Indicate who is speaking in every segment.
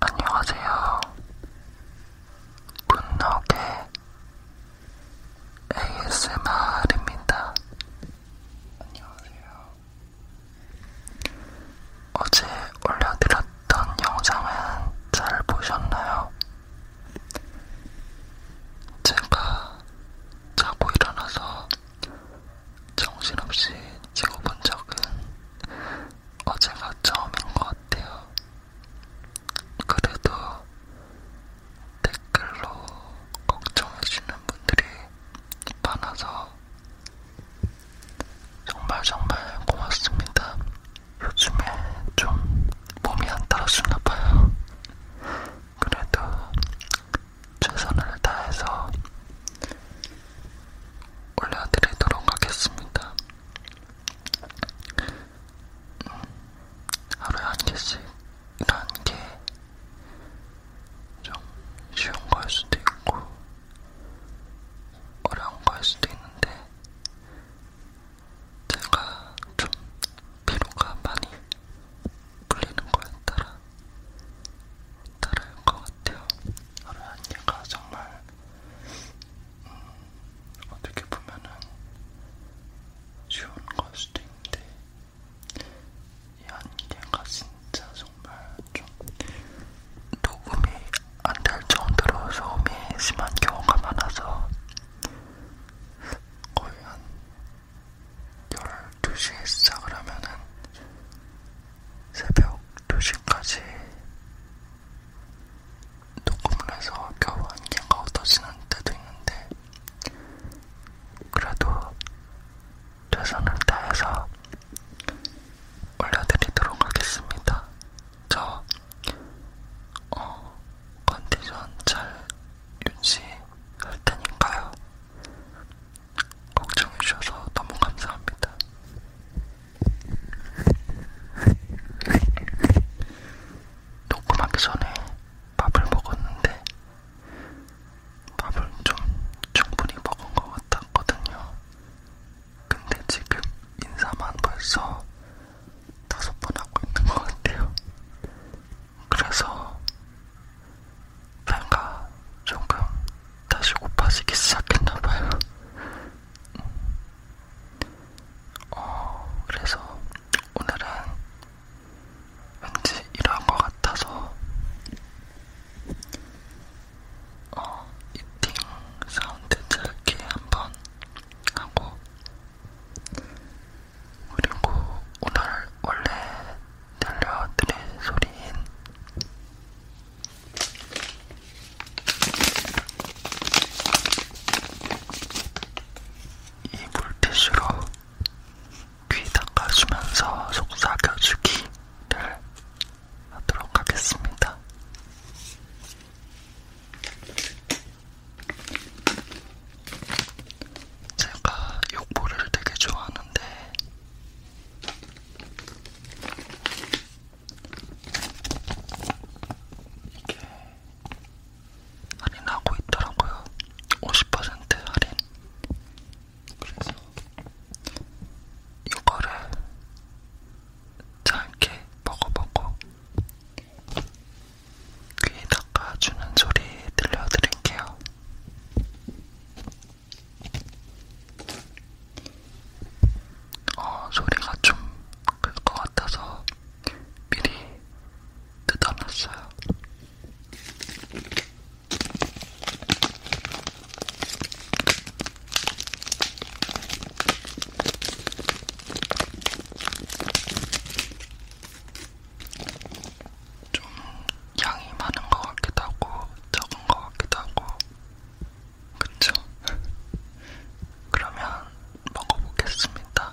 Speaker 1: 안녕하세요. 분노게 ASMR입니다. 안녕하세요. 어제 올려드렸던 영상은 잘 보셨나요? 제가 자고 일어나서 정신없이 찍어본 적은 어제가 처음인 것 같아요. 그래도 댓글로 걱정해주는 분들이 많아서 정말 정말 고맙습니다. 요즘에 좀 몸이 안 따라주나 봐요. 그래도 최선을 다해서 올려드리도록 하겠습니다. 음, 하루에 한 개씩 이런 게좀 쉬운 거일 수도 있고 어려운 거일 수도 있는데 제가 좀 피로가 많이 풀리는 거에 따라 다를 것 같아요. 하루한 얘가 정말 음, 어떻게 보면은 쉬운 걸 수도 있는데 이한 개가 진짜 정말 좀 녹음이 안 될 정도로 소음이 심한 경우가 많아서 거의 한 12시에 시작을 하면은 새벽 2시까지 녹음을 해서 겨우 안개가 흩어지는 때도 있는데 그래도 최선을 다해서 올려드리도록 하겠습니다. 저 어, 컨디션 잘 유지할 테니까요. 걱정해주셔서 너무 감사합니다. 녹음하기 전에 밥을 먹었는데 밥을 좀 충분히 먹은 것 같았거든요. 근데 지금 인사만 벌써 다섯 번 하고 있는 것 같아요. 그래서 뭔가 조금 다시 고파지기 시작했나봐요. 어, 그래서 오늘은 왠지 이러한 것 같아서 어, 이팅 사운드 짧게 한번 하고 그리고 오늘 원래 들려드릴 소리인 이 물티슈로 귀 닦아주면서 속삭여주기를 하도록 하겠습니다. 제가 욕보를 되게 좋아하는데 이게 할인하고 있더라고요. 50% 할인. 그래서 이거를 짧게 먹어보고 귀에 닦아주는 소리 들려드릴게요. 어, 소리가 좀 그럴 것 같아서 미리 뜯어놨어요. 좀 양이 많은 것 같기도 하고 적은 것 같기도 하고 그쵸? 그러면 먹어보겠습니다.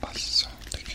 Speaker 1: 맛있어, 되게.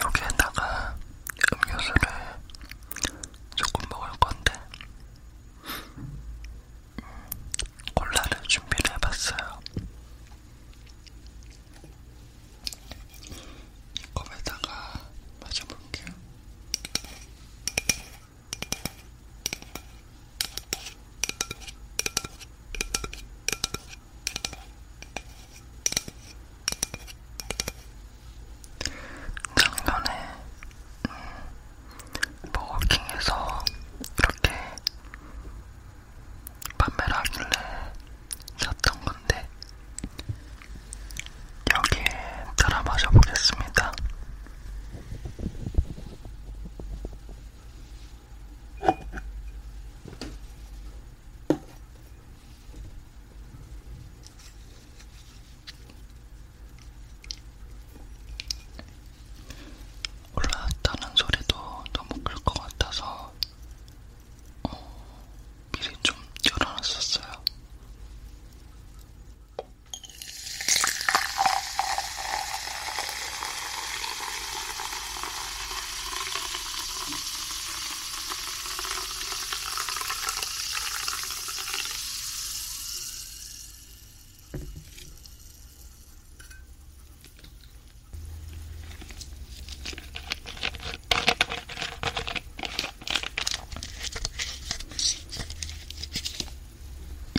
Speaker 1: 여기에다가 음료수를 조금 먹을 건데 음, 콜라를 준비를 해봤어요. 컵에다가 마셔볼게요. 작년에 음, 버거킹에서 이렇게 판매를 하길래 샀던 건데 여기에 따라 마셔보겠습니다. 올라왔다는 소리도 너무 클 것 같아서 어, 미리 좀 열어놨었어요.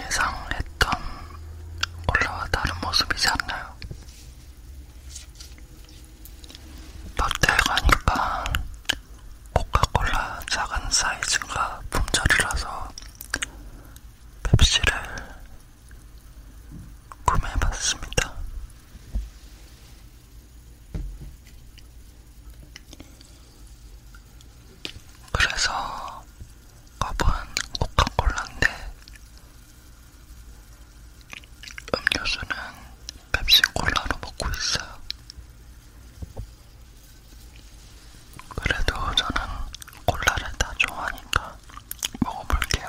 Speaker 1: 예상했던 원래와 다른 모습이지 않나요? 롯데에 가니까 코카콜라 작은 사이즈가 품절이라서 펩시를 구매해봤습니다. 그래서 컵은 코카콜라인데 음료수는 펩시콜라로 먹고 있어요. 그래도 저는 콜라를 다 좋아하니까 먹어볼게요.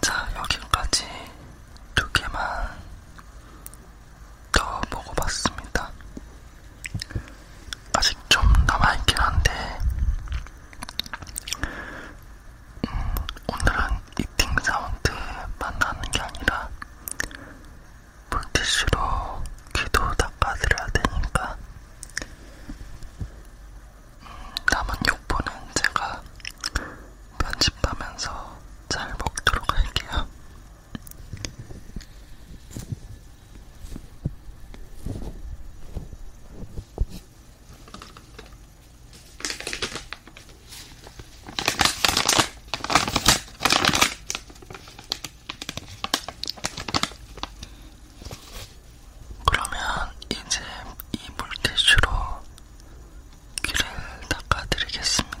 Speaker 1: 자, 여기까지 두 개만 더 먹어봤습니다. 아직 좀 남아있긴 한데 음, 오늘은 이팅 사운드만 나는 게 아니라 물티슈로 귀도 닦아드려야 되니까 음, 남은 욕보는 제가 편집하면서 잘 먹도록 할게요. 그러면 이제 이 물티슈로 귀를 닦아드리겠습니다.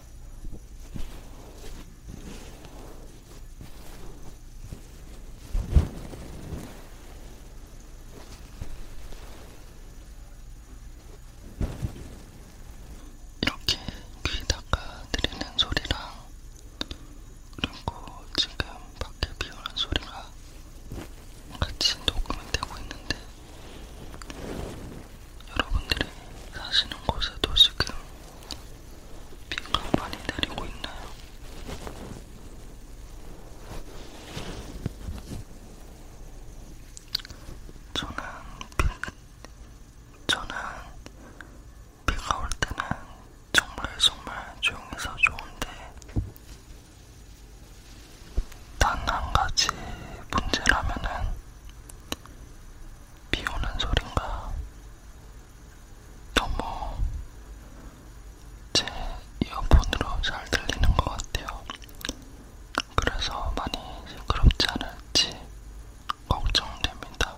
Speaker 1: 이렇게 귀에다가 들리는 소리랑 그리고 지금 밖에 비오는 소리가 같이 녹음이 되고 있는데 여러분들이 사시는 곳에도 지금 비가 많이 내리고 있나요? 저는 비, 저는 비가 올 때는 정말 정말 조용해서 좋은데 단한 가지 문제라면은 비 오는 소린가 너무 제 이어폰으로 잘 들리는 것 같아요. 그래서 많이 시끄럽지 않을지 걱정됩니다.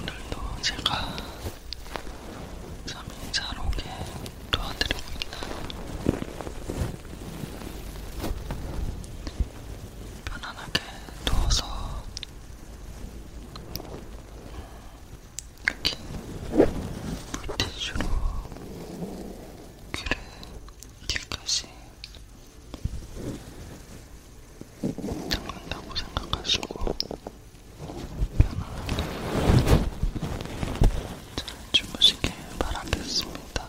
Speaker 1: 오늘도 제가 잠이 잘 오게 도와드리고 있나요? 편안하게 누워서 이렇게 물티슈로 귀를 뒤까지 닦는다고 생각하시고 편안하게 잘 주무시길 바라겠습니다.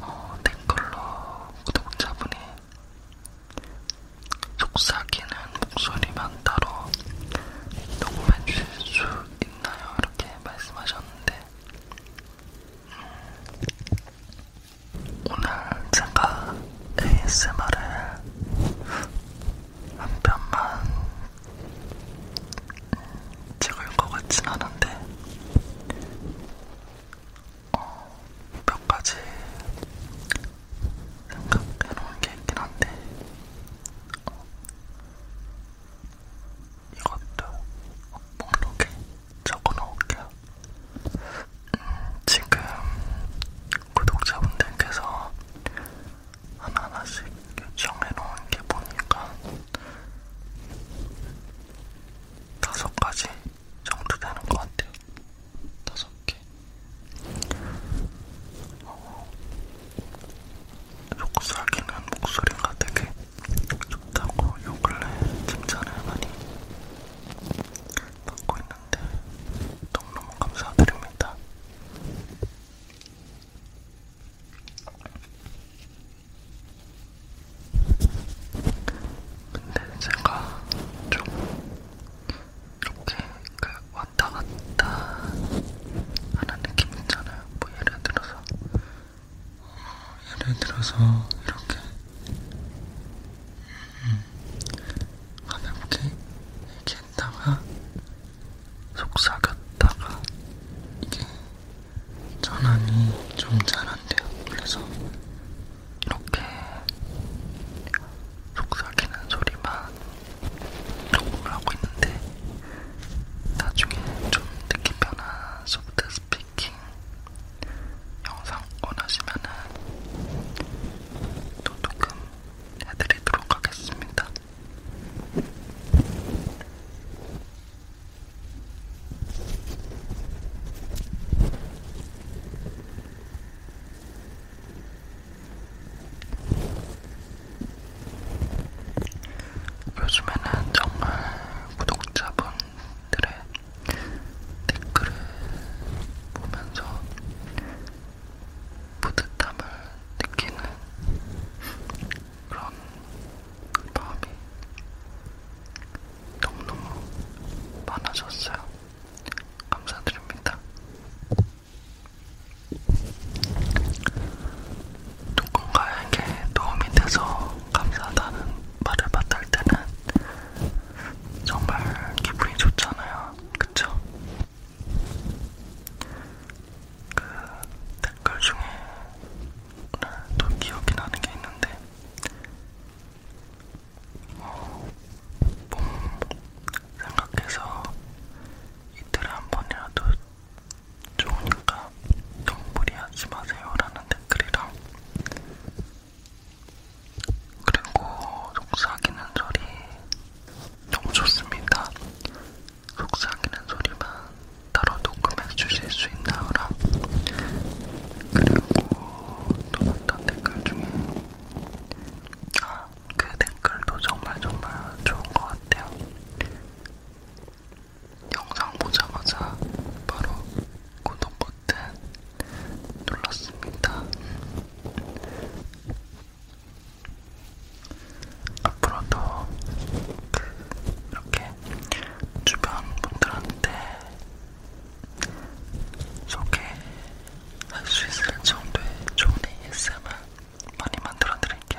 Speaker 1: 어, 댓글로 구독자분이 속삭이는 목소리만 따로 녹음해 주실 수 있나요? 이렇게 말씀하셨는데 음, 오늘 제가 ASMR을 한 편만 찍을 것 같진 않은데 어, 몇 가지 생각해놓은 게 있긴 한데 어, 이것도 목록에 적어놓을게요. 음, 지금 구독자분들께서 하나하나씩 요청해놓은 게 보니까 다섯 가지 정도 되는 것 같아요. 다섯 개. 어, 속삭이는 목소리가 되게 좋다고 요 근래 칭찬을 많이 받고 있는데 너무너무 감사드립니다. 근데 제가 좀 이렇게 그 왔다 갔다 하는 느낌 있잖아요. 뭐 예를 들어서 예를 들어서 이렇게 음, 가볍게 얘기했다가 속삭였다가 이게 전환이 좀 잘안 돼요. 그래서 이렇게 속삭이는 소리만 녹음을 하고 있는데 나중에 좀 듣기 편한 소프트 스피킹 영상 원하시면은 도둑금 해드리도록 하겠습니다. 요즘에는 정말 구독자분들의 댓글을 보면서 뿌듯함을 느끼는 그런 마음이 너무너무 많아졌어요. 감사드립니다. 누군가에게 도움이 돼서 감사하다는 말을 받을 때는 정말 기분이 좋잖아요. 그쵸? 그 댓글 중에 오늘 또 기억이 나는 게 있는데 어, 몸 생각해서 이틀에 한 번이라도 좋으니까 너무 무리하지 마세요라는 댓글이랑 그리고 속삭이는 소리 너무 좋습니다. 속삭이는 소리만 따로 녹음해 주실 수 있나요라 그리고 또 어떤 댓글 중에 아그 댓글도 정말 정말 좋은 것 같아요. 영상 보자마자 바로 구독 버튼 눌렀습니다. 앞으로도 이렇게 주변 분들한테 소개해 할수 있을 정도의 좋은 ASMR 많이 만들어 드릴게요.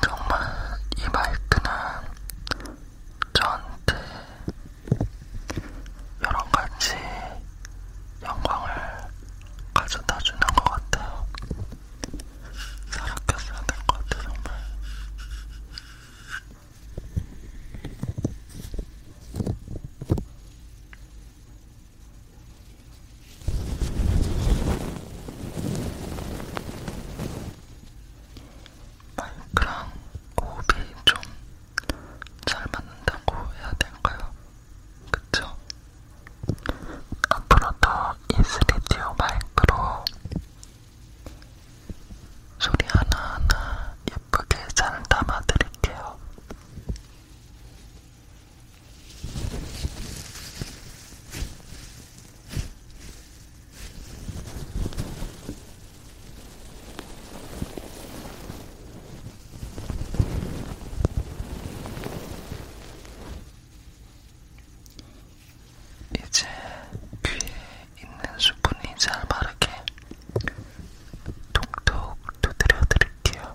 Speaker 1: 정말 이 말투는 저한테 여러 가지 영광을 가져다 주는 것 같아요. 살았겠어야 될것 같아, 정말. 마이크랑 호흡이 좀 잘 맞는다고 해야 될까요? 그쵸? 앞으로도 이 스튜디오 마이크로 소리 하나하나 예쁘게 잘 담아드릴게요. 이제 귀에 있는 수분이 잘 마르게 톡톡 두드려 드릴게요.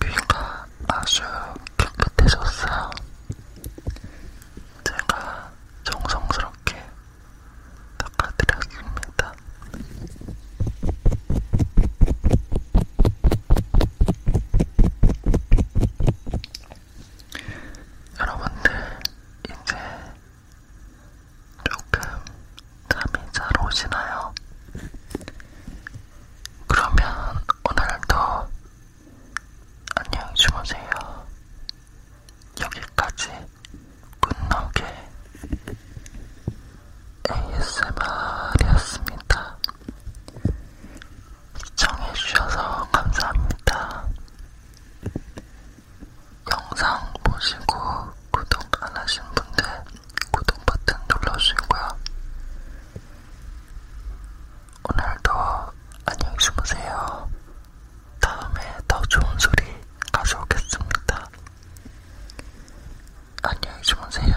Speaker 1: 귀가 아주 깨끗해졌어요. 제가 정성스럽게 닦아드렸습니다. 여러분들 이제 조금 잠이 잘 오시나요? 그러면 오늘도 안녕히 주무세요. 여기까지 굿노게 ASMR이었습니다. 시청해주셔서 감사합니다. 영상 보시고 구독 안 하신 분들 구독 버튼 눌러주시고요. 오늘도 안녕히 주무세요. 다음에 더 좋은 소리 가져오겠습니다. 안녕히 주무세요.